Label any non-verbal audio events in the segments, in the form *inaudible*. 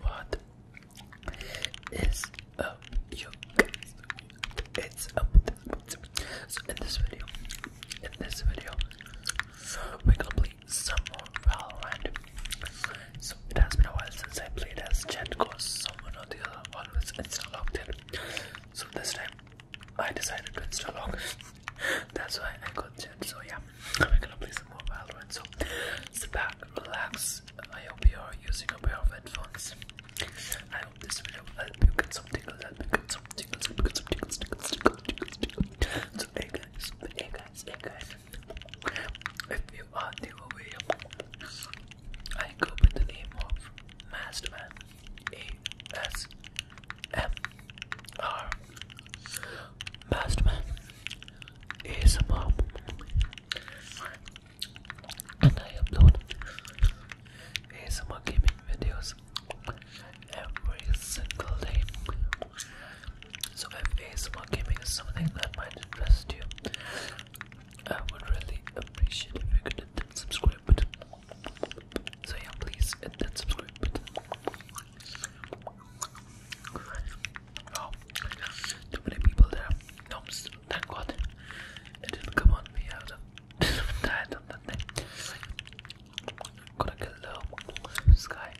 What is up, you It's up. So in this video, in this video, we're gonna play some more Valorant. So it has been a while since I played as Jet because someone or the other always install locked it. So this time, I decided to install lock. That's why I got Jet. So yeah, we're gonna play some more Valorant. So sit back, relax. I hope you are using a pair of headphones. I hope this video will help you get some tingles, help you get some tingles, help you get some tingles, tingles, tingles, tingles, tingles. So hey guys, hey guys, hey guys. If you are new over here, I go by the name of Masterman. A S M R. Best man is a mom. And I upload ASMR gaming videos every single day. So if ASMR gaming is something that might interest you, I would really appreciate if you could hit that subscribe button. So yeah, please hit that subscribe button. Oh, too many people there. No, thank God. It didn't come on me. I was tired *laughs* on that thing. to kill the sky.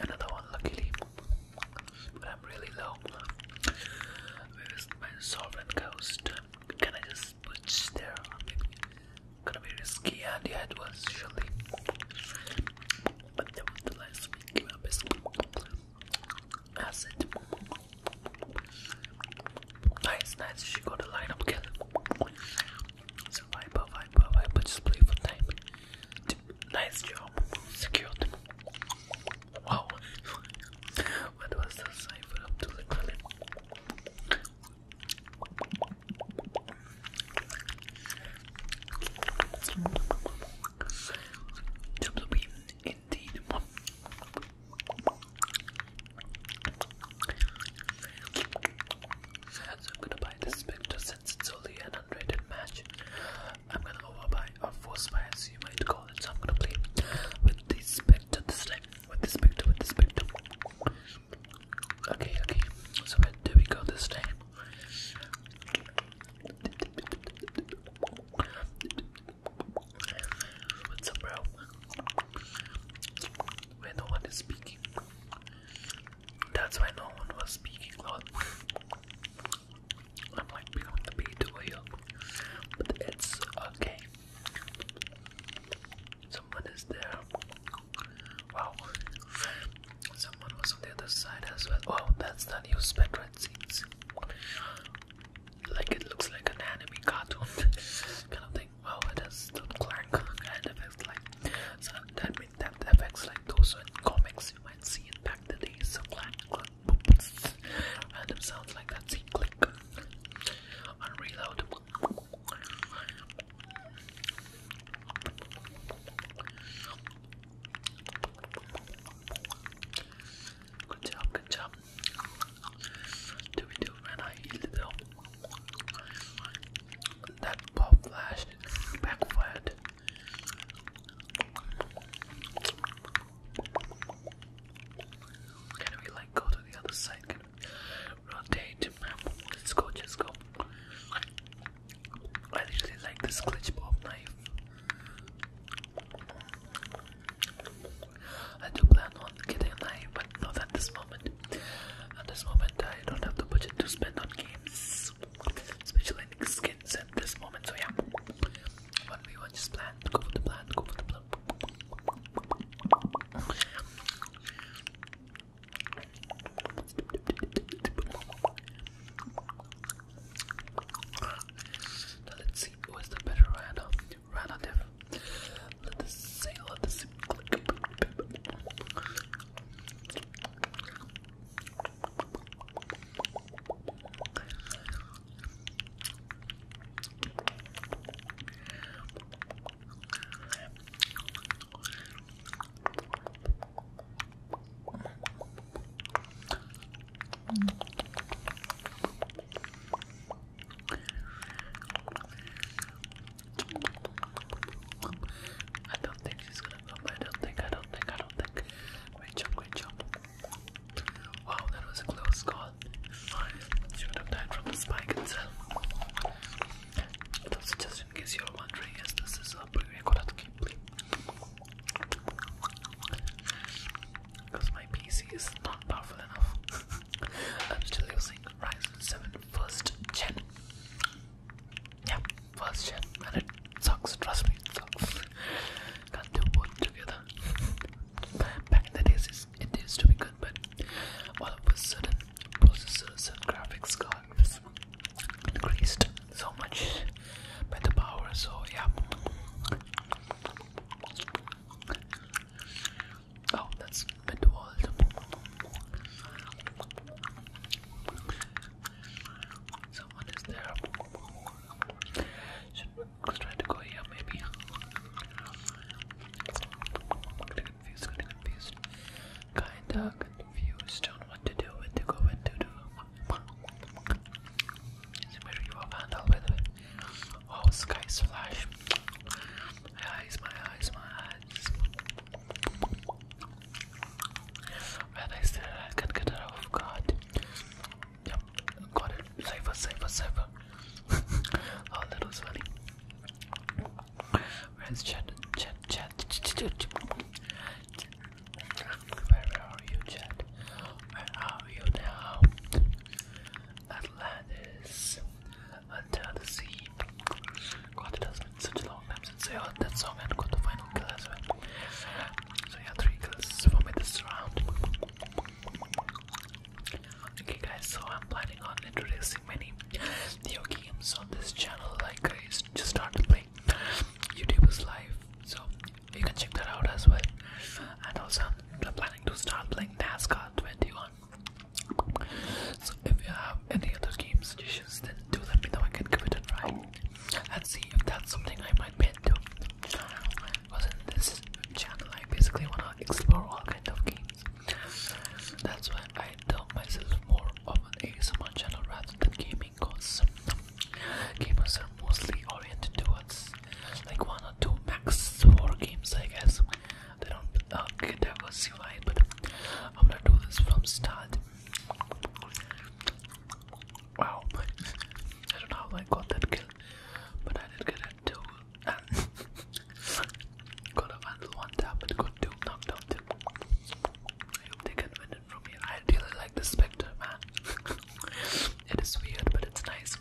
Another one, luckily. But I'm really low. Where is my solvent ghost? Can I just switch there? Gonna be risky, and yeah, it was surely but nevertheless, we give I said, nice, nice. She got a lineup kill. So Viper, Viper, Viper, just play time. Nice job, secured. Wow, what was the cipher to the Tumbleweed, I'm gonna buy this picture since it's only an unrated match. I'm gonna overbuy or force buy as you might call it. So I'm gonna play with this picture this time. With this picture, with this picture. Okay, okay. So where do we go this time? What's up, bro? Where no one is speaking. That's why no one was speaking, Lord. I'm like becoming the beat over here. But it's okay. Someone is there. Wow. Someone was on the other side as well. Oh, that's the new Spectre, scenes. Like it looks like an anime cartoon *laughs* kind of thing. Wow, it has clank and effects like. So that means that effects like those in comics you might see in the days. So clank, clank, boop, random sounds like that. click. Unreal Good job, good job. Do we do when I heal though? That pop flash backfired. Can we like go to the other side? rotate? Let's go, just go. I really like this glitch bob knife. I do plan on getting a knife, but not at this moment. At this moment, I don't have the budget to spend on games, especially in skins at this moment. So yeah, one we one just plan. Go for the plan. Go for the plan. Now let's see who is the better rana relative. Let us see, let us see. I don't think she's gonna come. I don't think, I don't think, I don't think. Great job, great job. Wow, that was a close call. She would have died from the spike itself. But also, just in case you're wondering, yes, this is a Bulgaria Koratki, please. Because my PC is not powerful enough. *laughs* I'm still using Ryzen 7 first gen. Yeah, first gen. And it sucks, trust me, it sucks. *laughs* Can't do both together. *laughs* Back in the days, it used to be good, but all of a sudden, processors and graphics card increased so much by the power, so yeah. Oh, that's midworld. Someone is there. Should we to go here, maybe? kinda confused on what to do, what to go, what to do. It's a very well handled with it. Oh, sky's flash. My eyes, my eyes, my eyes. When I said I can get her off Yep, got it. Cypher, cypher, cypher. oh, that was funny. Where's Chad? Chad, Chad, where are you, Jet? Where are you now? Atlantis, Under the Sea. God, it has been such long time since I heard that song and got the final kill So, yeah, three kills for me this round. Okay, guys, so I'm planning on introducing many video games on this channel. Like, just started playing. YouTube is live, so you can check that out as well. And also, I'm planning to start playing NASCAR 21. So if you have any other games suggestions, then do let me know. I can give it a try and see if that's something I might be into. Because in this channel, I basically wanna explore all kinds of games. That's why I tell myself more of an ASMR channel rather than gaming flamingos. Gamers are mostly oriented towards like one or two max war games, I guess. They don't uh, get diversified, but I'm gonna do this from start. Wow, I don't know how I got that kill, but I did get it too. *laughs* got a handle one tap, but got two knocked out. I hope they can win it from me. I really like the Spectre, man. *laughs* it is weird, but it's nice.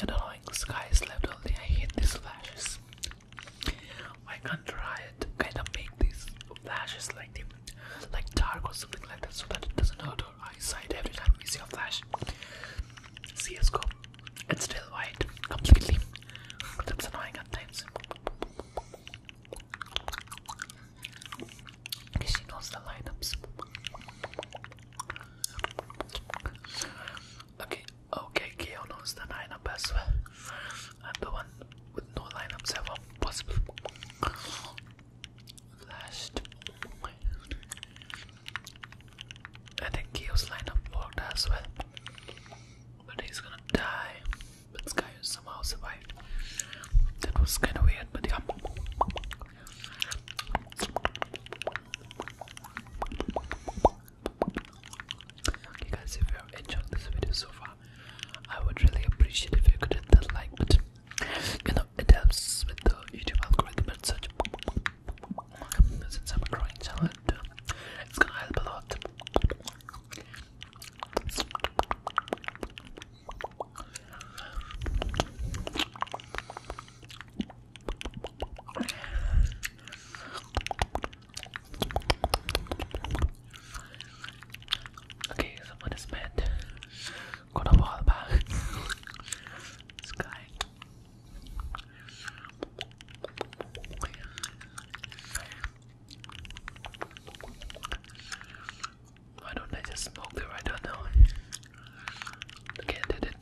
And annoying sky is left only. I hate these flashes. Why can't I kind of make these flashes like like dark or something like that so that it doesn't hurt our eyesight every time we see a flash? CSGO. It's still white completely. That's annoying at times. He knows the lineups. Okay, okay, Keo knows the lineup as well. And the one with no lineups ever possible. Flashed. I think Keo's lineup worked as well. But he's gonna die but this somehow survived. That was kind of weird, but yeah. Okay, guys, if you have enjoyed this video so far, I would really appreciate if you could hit that like button. You know, it helps with the YouTube algorithm and Since I'm a growing channel, it's gonna help a lot. Okay, someone is mad. Got a wall back. *laughs* this guy. Why don't I just smoke the right on now? Okay, I did it.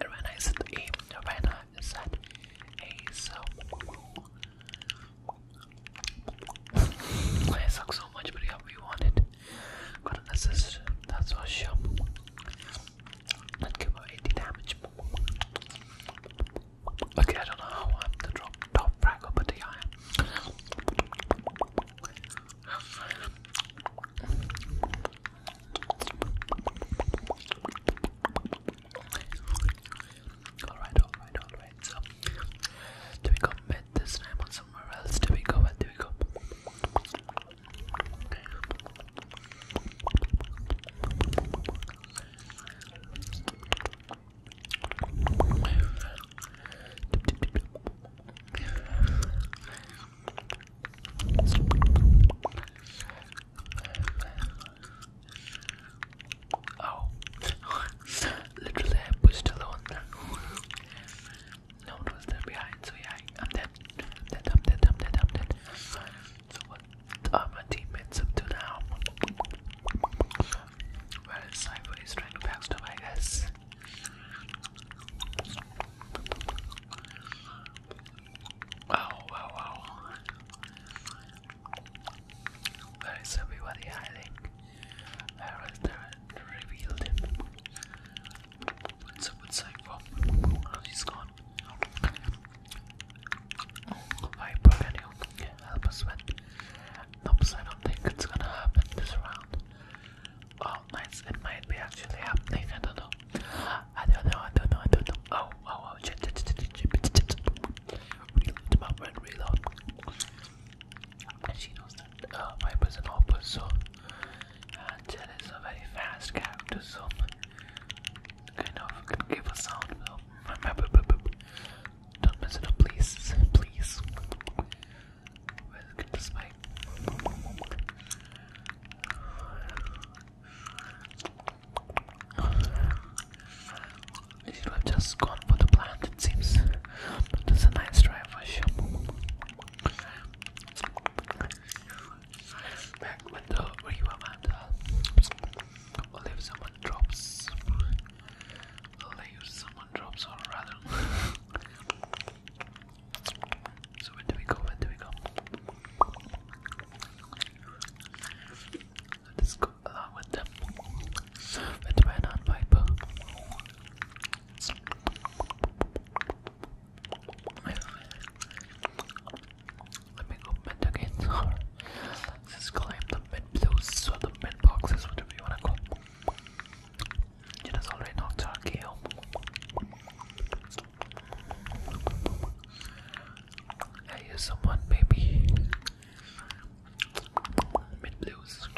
Arena is at A. Arena is at A. So, I sucks so much, but yeah, we want it. Got an assist, that's for sure. Okay, I don't know how I'm the drop, top fragger, but I am. Alright, alright, alright. So, do we got mid this time on somewhere else. There we go, and there we go. Oh, literally I pushed alone. no one was there behind, so yeah, I'm dead. i dead, dead, dead, dead. So what uh, my teammates up to now? Where is Cypher? He's trying to backstab, I Oh, wow, wow. Where is everybody hiding? Where is the uh, revealed? What's up with Cypher? Oh, she's gone. Viper, can you help us with? Nope, I don't think it's gonna happen this round. Oh, nice. It might be actually happening. I don't know. I don't know. I don't know. I don't know. Oh, oh, oh. Reload, my friend. Reload and she knows that uh, Viper is an opus, so Angel uh, is a very fast character, so kind of can give a sound. So, don't mess it up, please, please. Where's get this mic? I have just gone for the plant, it seems. But it's a nice try for sure. Back with the river and if someone drops, layer someone drops, or rather. so, where do we go? Where do we go? Let's go along with them with red on Viper. Let me go mid again. Let's climb the mid those or the mid boxes, whatever you wanna call. It is already knocked out KO. I hear someone, baby. Mid blues.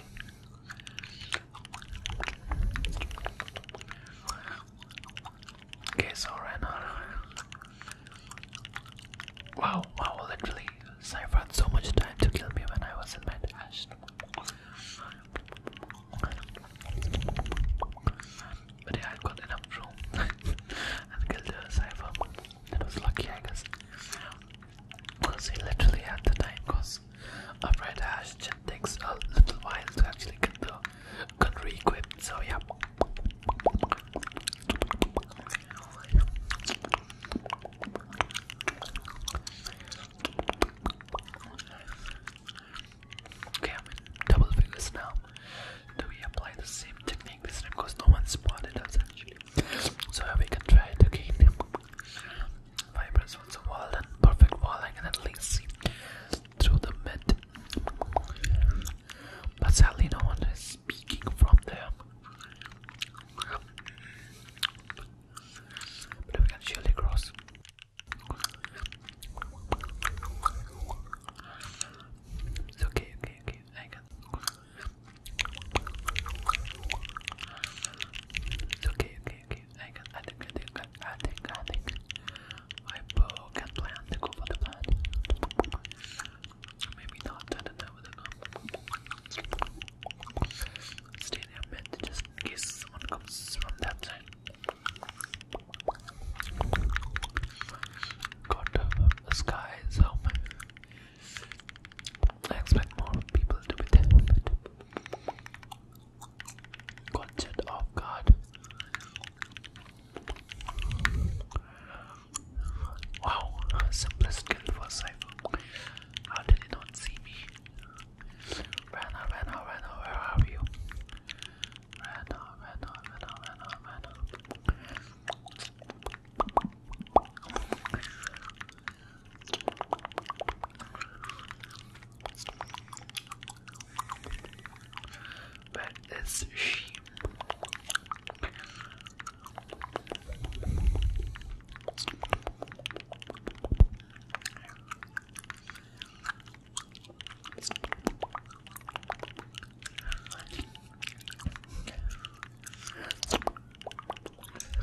Okay, so right now, wow, wow, literally, Cypher had so much time to kill me when I was in my dash. But yeah, I got enough room *laughs* and killed Cypher. That was lucky, I guess. Because he literally had the time because a I ash it takes a little while to actually get the gun reequipped. so yeah. Okay, I'm in double figures now. Do we apply the same technique this time? Because no one spotted us actually. So we can try it again. Fibers once a wall and perfect wall I can at least see through the mid. But sadly no one is speaking from there. But we can surely cross. It's okay, okay, okay, I can Okay, okay, okay. I can. I think. I think. I think. I think. My bow can plan to go for the plan. Maybe not. I don't know whether not. just in case someone comes from that side. Got the sky, so I expect more people to be there, but got set Wow, simplest kill for Cypher. How did you not see me? Rana, Rana, Rana, where are you? Rana, Rana, Rana, Rana, Rana. But it's sheep.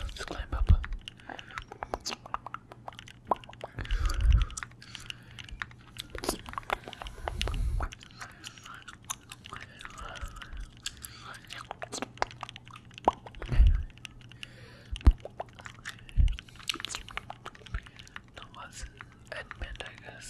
Let's climb up. Thomas Edmund, I guess.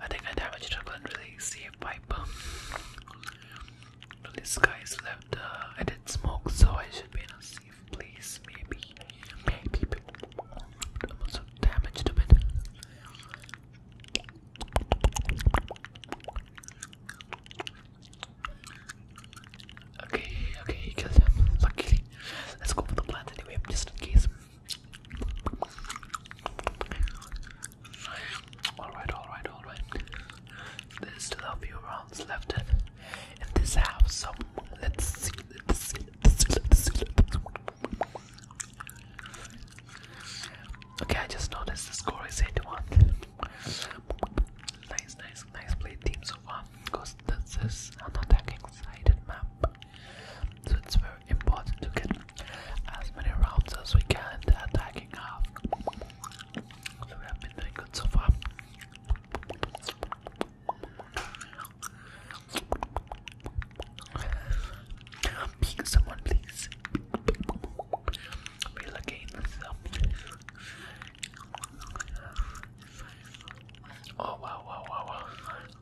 I think that damage couldn't really save Piper. Well, this guy's left. Uh, I did smoke, so I should be in a safe place. Maybe. Maybe. i damaged a bit. Okay, okay, he killed Luckily. Let's go for the plant anyway, just in case. Alright, alright, alright. There's still a few rounds left in this house. so let's see. Let's see, let's see, let's see, Okay, I just noticed the score is 8 1. Nice, nice, nice play team so far because this is an attacking sided map. So it's very important to get as many rounds as we can attacking half. So we have been doing good so far. Pick someone, please. Feel again Oh wow, wow, wow, wow.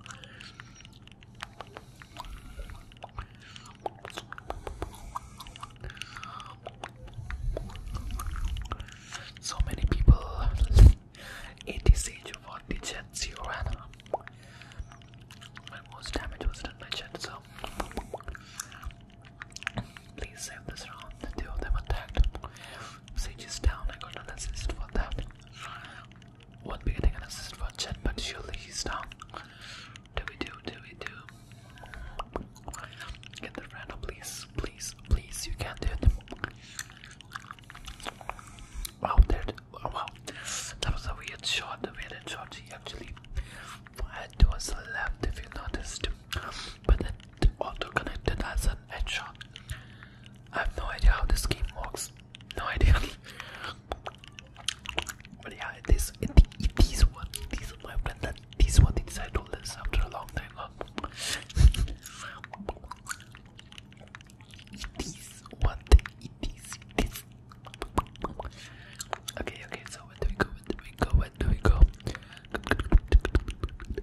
So many people it is for the jet zero my most damage was done by jet so please save this round. The two of them attacked. Sage is down, I got an assist for that. Won't getting an assist for Chen, but surely he's down. Do we do? Do we do? Get the random, please, please, please. You can do it. Wow, there. Oh, wow, that was a weird shot. The weird shot he actually had towards the left, if you noticed. But it auto connected as an headshot. I have no idea how this game works. No idea. but yeah, this it, it, these one, these are my friend that these one things I told this after a long time. Huh? it is one thing. It is it is. Okay, okay. So where do we go? Where do we go? Where do we go?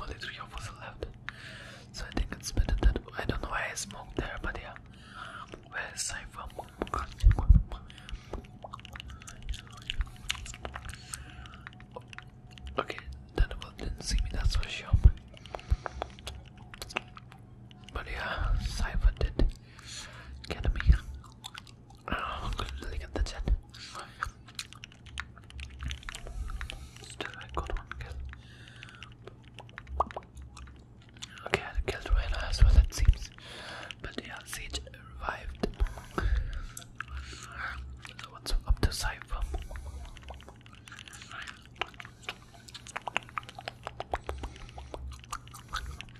Only three of us left. So I think it's better that I don't know why I smoked there, but yeah. Where is I Okay, that didn't see me, that's for sure. But yeah, Cypher did get me. Oh, look at the chat. Still, I got one kill. Okay, I killed Reyna as well, it seems. But yeah, Siege revived. So, what's up to Cypher?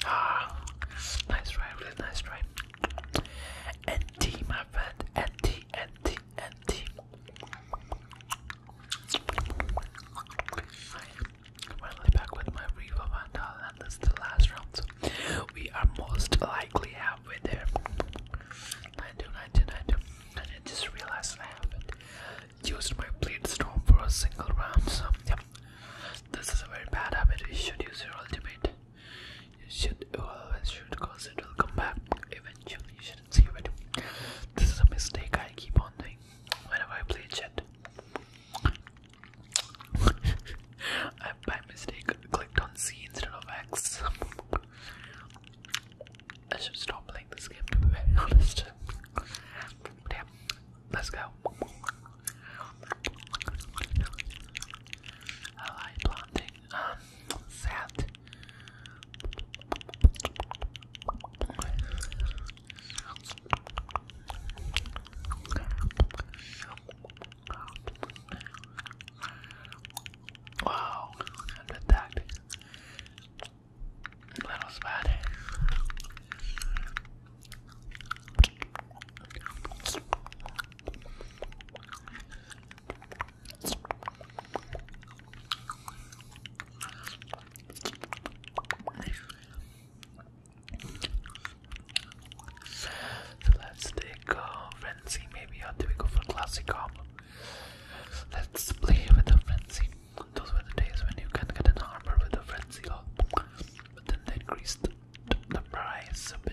Ah, nice try, really nice try. NT, my friend, NT, NT empty, Finally back with my Riva Vandal, and this the last round. we are most likely halfway there. 92, 92, 92. And I just realized I haven't used my blade storm for a single round. So, yep, this is a very bad habit. You should use your ultimate. You should always oh, should because it will come back eventually didn't save This is a mistake I keep on doing whenever I play chat. *laughs* I by mistake clicked on C instead of X. I should stop playing this game to be *laughs* honest. let's go. I like planting um, Wow, and attacked. That was bad. So let's take uh, Frenzy, maybe, or uh, do we go for Classic Arm? Let's play with the Frenzy. Those were the days when you can get an armor with a Frenzy, uh, but then they increased the price a bit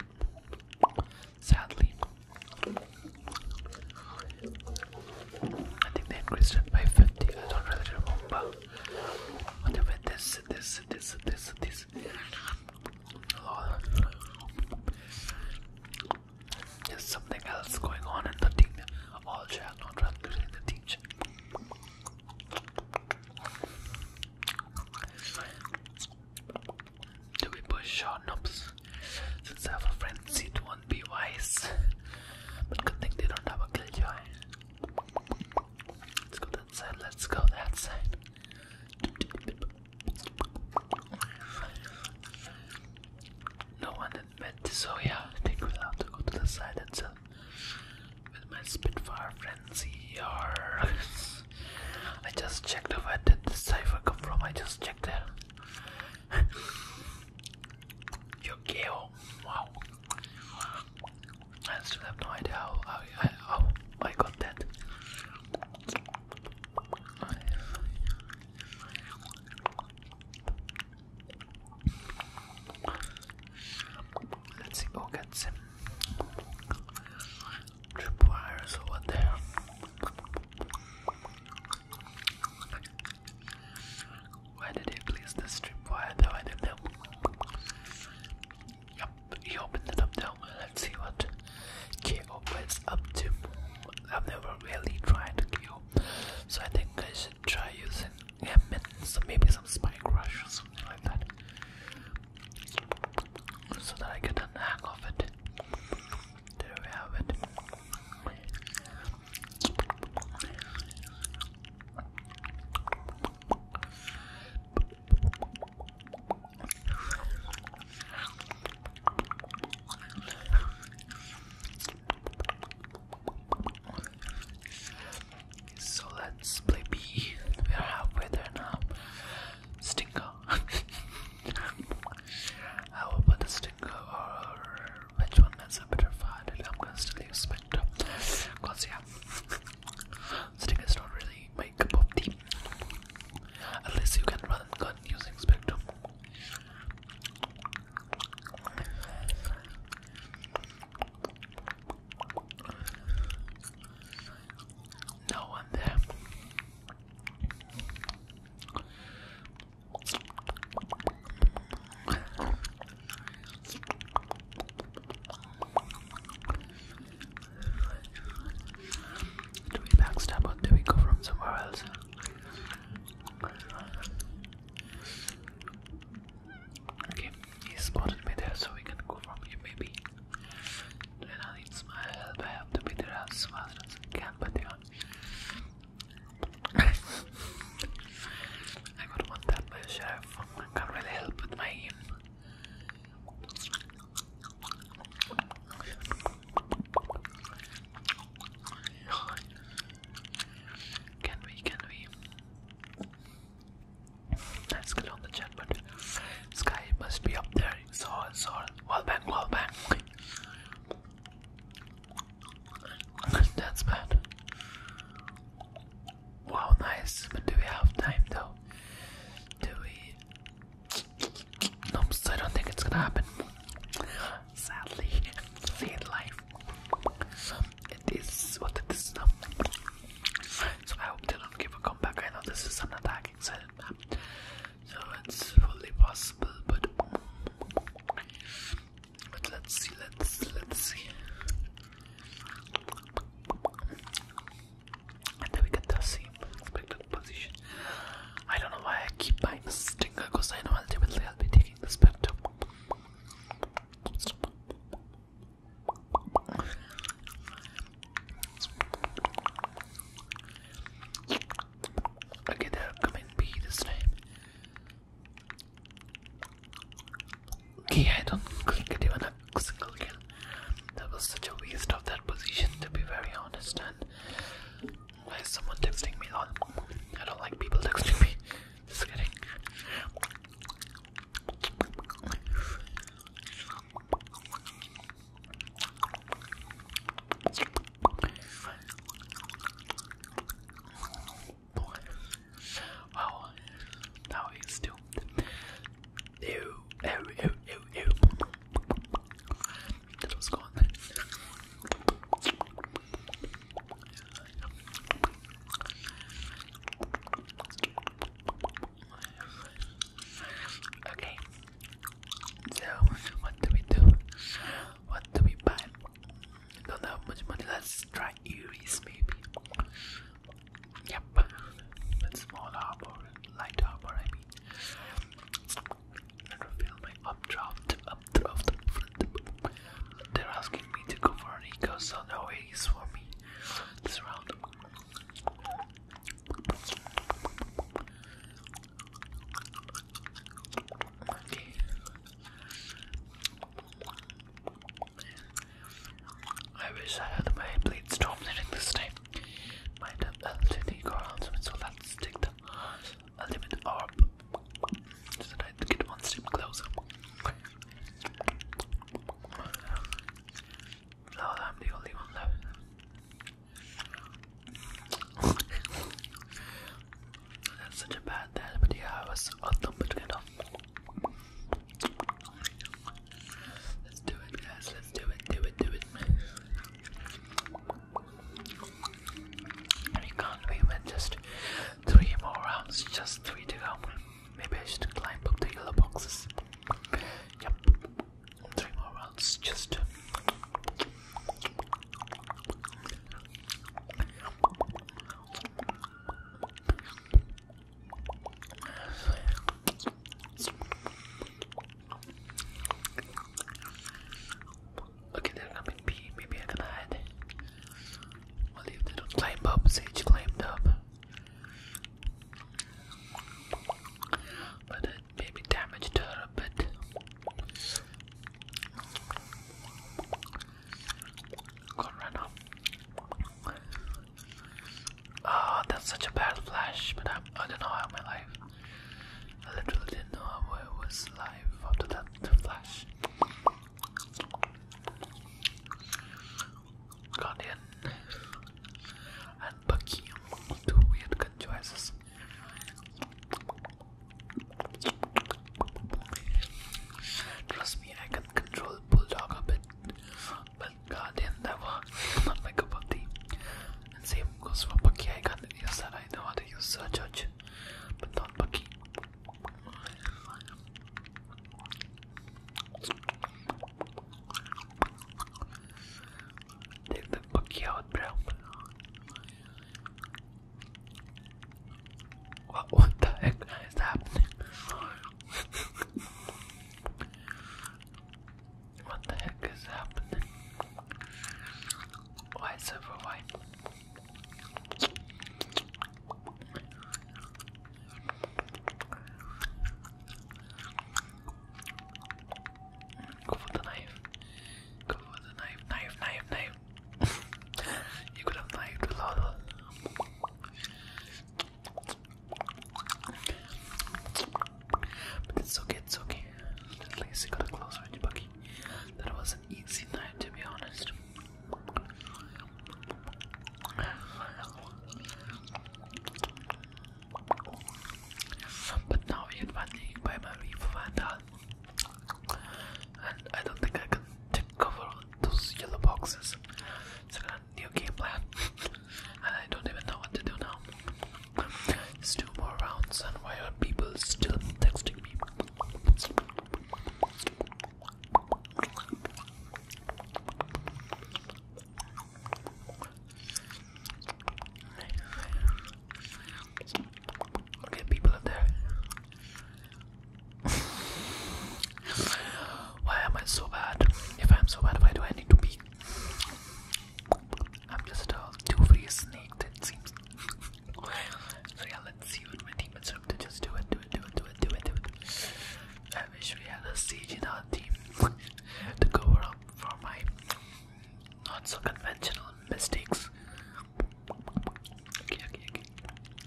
sadly. I think they increased it by 50, I don't really remember. But anyway, this, this, this, this, this. There's something else going on in the team. All shall not run in the teach. Do we push or nope? Since I have a frenzy, it won't be wise. But good thing they don't have a killjoy. Let's go that side, let's go that side. No one in so yeah, I think we'll have to go to the side itself. With my Spitfire Frenzy, or. I just checked where did this cipher come from, I just checked there. *laughs* Your gill. Wow. I still have no I, I, I got that. Let's see what oh, gets him. Tripwires over there. Why did he place the strip wire though? I don't know. he opened it up now. Let's see what KO is up to. I've never really tried KO, so I think I should try using him maybe some spike rush or something like that. So that I get the hang of it. There we have it. So let's play B. We're halfway there now. Stinker. *laughs* I will put this or uh, which one is a better fight? I'm gonna still use Spectre. Cause yeah, Sting is not really my cup of tea. Unless you can run gun using Spectre. No one there. Do we backstab or do we go from somewhere else? Okay, he spotted me there, so we can go from here maybe. Then I need my help. I have to be there as fast as I but they *laughs* I would want that myself. I can't really help with my Can we? Can we? Let's get on the chat, but sky must be up there. It's all, it's all. Wall bang, *laughs* That's bad. Wow, nice. do we have time though? Do we? Nope, I don't think it's gonna happen. Sadly, *laughs* see it live. It is what it is now. So I hope they don't give a comeback. I know this is an attacking setup so it's fully possible, but but let's see, let's let's see. And then we get the same expected position. I don't know why I keep buying the stinger because I know ultimately I'll be taking the spectrum. Okay, there comment B this time. Okay, I don't click it even a single kill. That was such a waste of that position to be very honest and why is someone texting me on? I don't like people texting me. Just kidding. Wow, now it's too. ew, ew, ew, ew. That was gone. Okay, so what do we do? What do we buy? Don't have much money. Let's try Eries maybe. Yep. But small harbor, light harbor I mean. Let me my updraft, updraft. They're asking me to go for an eco, so no for me this round. I wish I had my blade storm hitting this time. Might have LTD core ultimate, so let's take the ultimate orb. So that I get one step closer. Now I'm the only one left. That's such a bad dad, but yeah, I was on the potato. Let's do it, guys. Let's do it, do it, do it. We can't be with just three more rounds, just three to go. Maybe I should climb up the yellow boxes. Yep three more rounds just Okay, they're coming B. Maybe I can hide. Well, they don't climb up, Sage climbed up. But maybe damaged her a bit. Go right now. Oh, that's such a bad flash, but I'm, I don't know how my life. I literally didn't know how I was live after that flash. Guardian and Bucky, two weird gun choices. Trust me, I can control Bulldog a bit, but Guardian never. Not my cup of tea. And same goes for Bucky. I can't use that. I know how to use Sir but not Bucky. Take the bookie bro. What, the heck is happening? what the heck is happening? Why server why? Go for the knife. Go for the knife, knife, knife, knife. *laughs* you could have knifed a lot. But it's okay, it's okay. At least you got a close range That was an easy night to be honest. But now we advantage by my Reef Vandal. And I don't think I can take cover those yellow boxes. It's a new game plan. *laughs* and I don't even know what to do now. It's two more rounds and why are people still texting me? Look at people up there. *laughs* Why am I so bad? If I'm so bad, why do I need to be? I'm just a two-free snake that seems. *laughs* so yeah, let's see what my teammates are up to. Just do it, do it, do it, do it, do it, do it. I wish we had a siege in our team *laughs* to cover up for my not so conventional mistakes. Okay, okay, okay.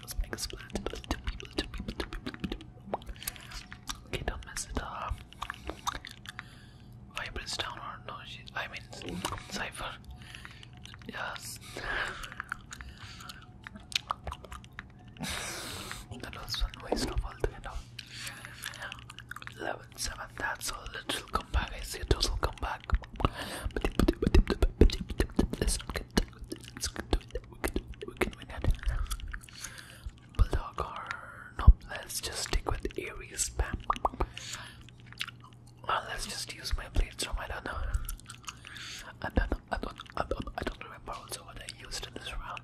Let's make a splat. Two people, Okay, don't mess it up. Vibrance down or no? I mean, Cypher. Yes. that was one waste of all the head off. Love seven, That's a little comeback. I see a let's get to it. Bulldog or nope. Let's just stick with Aries spam. let's just use my blades from I don't know. I don't know. I don't. I don't. I don't remember also what I used in this round.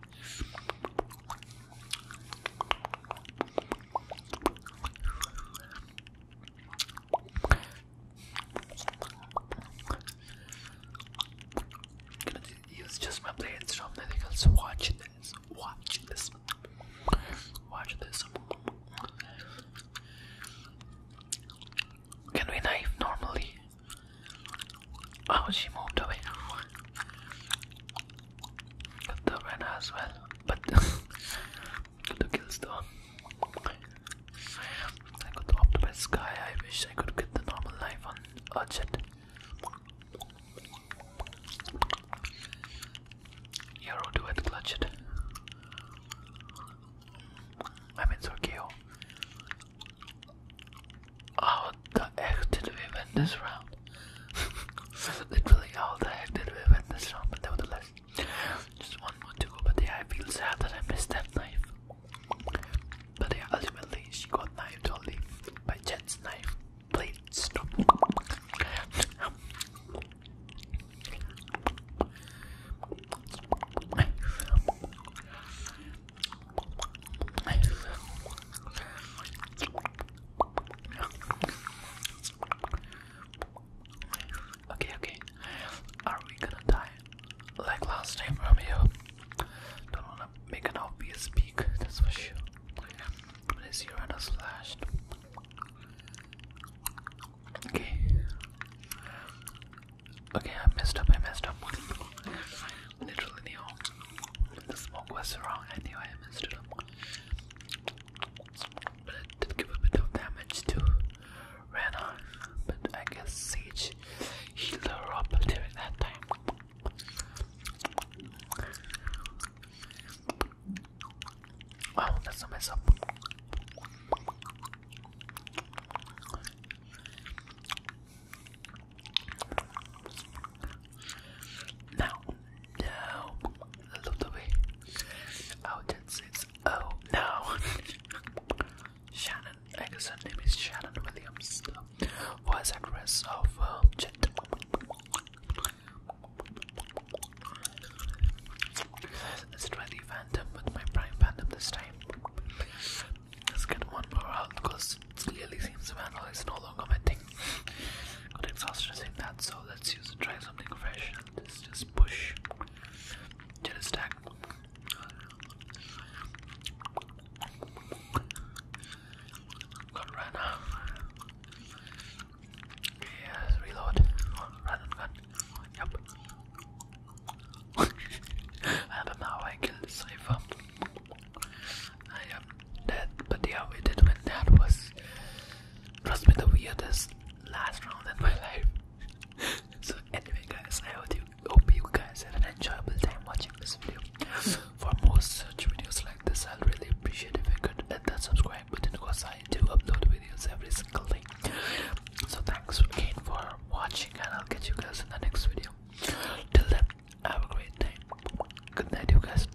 Gonna use just my blades from the because watch this, watch this, watch this. Can we knife normally? Oh, she moved away the Rena as well, but *laughs* the kills though. I got robbed by Sky. I wish I could get the normal life on Urchet. Hero duet clutched. I mean, so KO. Oh. How the heck we win this round? Literally, how the heck did we win this round? But nevertheless, just one more to go. But yeah, I feel sad that I missed that knife. But yeah, ultimately, she got knifed only by Jet's knife please Stop. Okay, okay. Are we gonna die like last time, Romeo? Don't wanna make an obvious peak, that's for sure. Let's run a slash. Okay. Okay, I messed up, I messed up. Literally knew the smoke was wrong, I knew I messed up. But it did give a bit of damage to Rana. But I guess Sage healed her up during that time. Wow, that's a mess up. Now, now, I love the way oh, oh no. *laughs* Shannon, I her name is Shannon Williams, the voice actress of uh, Let's try the Phantom with my Prime Phantom this time. Let's get one more out because clearly seems the vandal is no longer my thing. Got exhausted saying that, so let's use the dry something fresh. Let's just push to the stack. Got run. reload. Run gun. Yep. *laughs* I don't know how I killed the cipher. I am dead, but yeah, we did win. That was Trust me, the weirdest last round in my life. *laughs* so anyway, guys, I hope you guys had an enjoyable time watching this video. For more such videos like this, i would really appreciate if you could hit that subscribe button because I do upload videos every single day. So thanks again for watching, and I'll catch you guys in the next video. Till then, have a great time. Good night, you guys.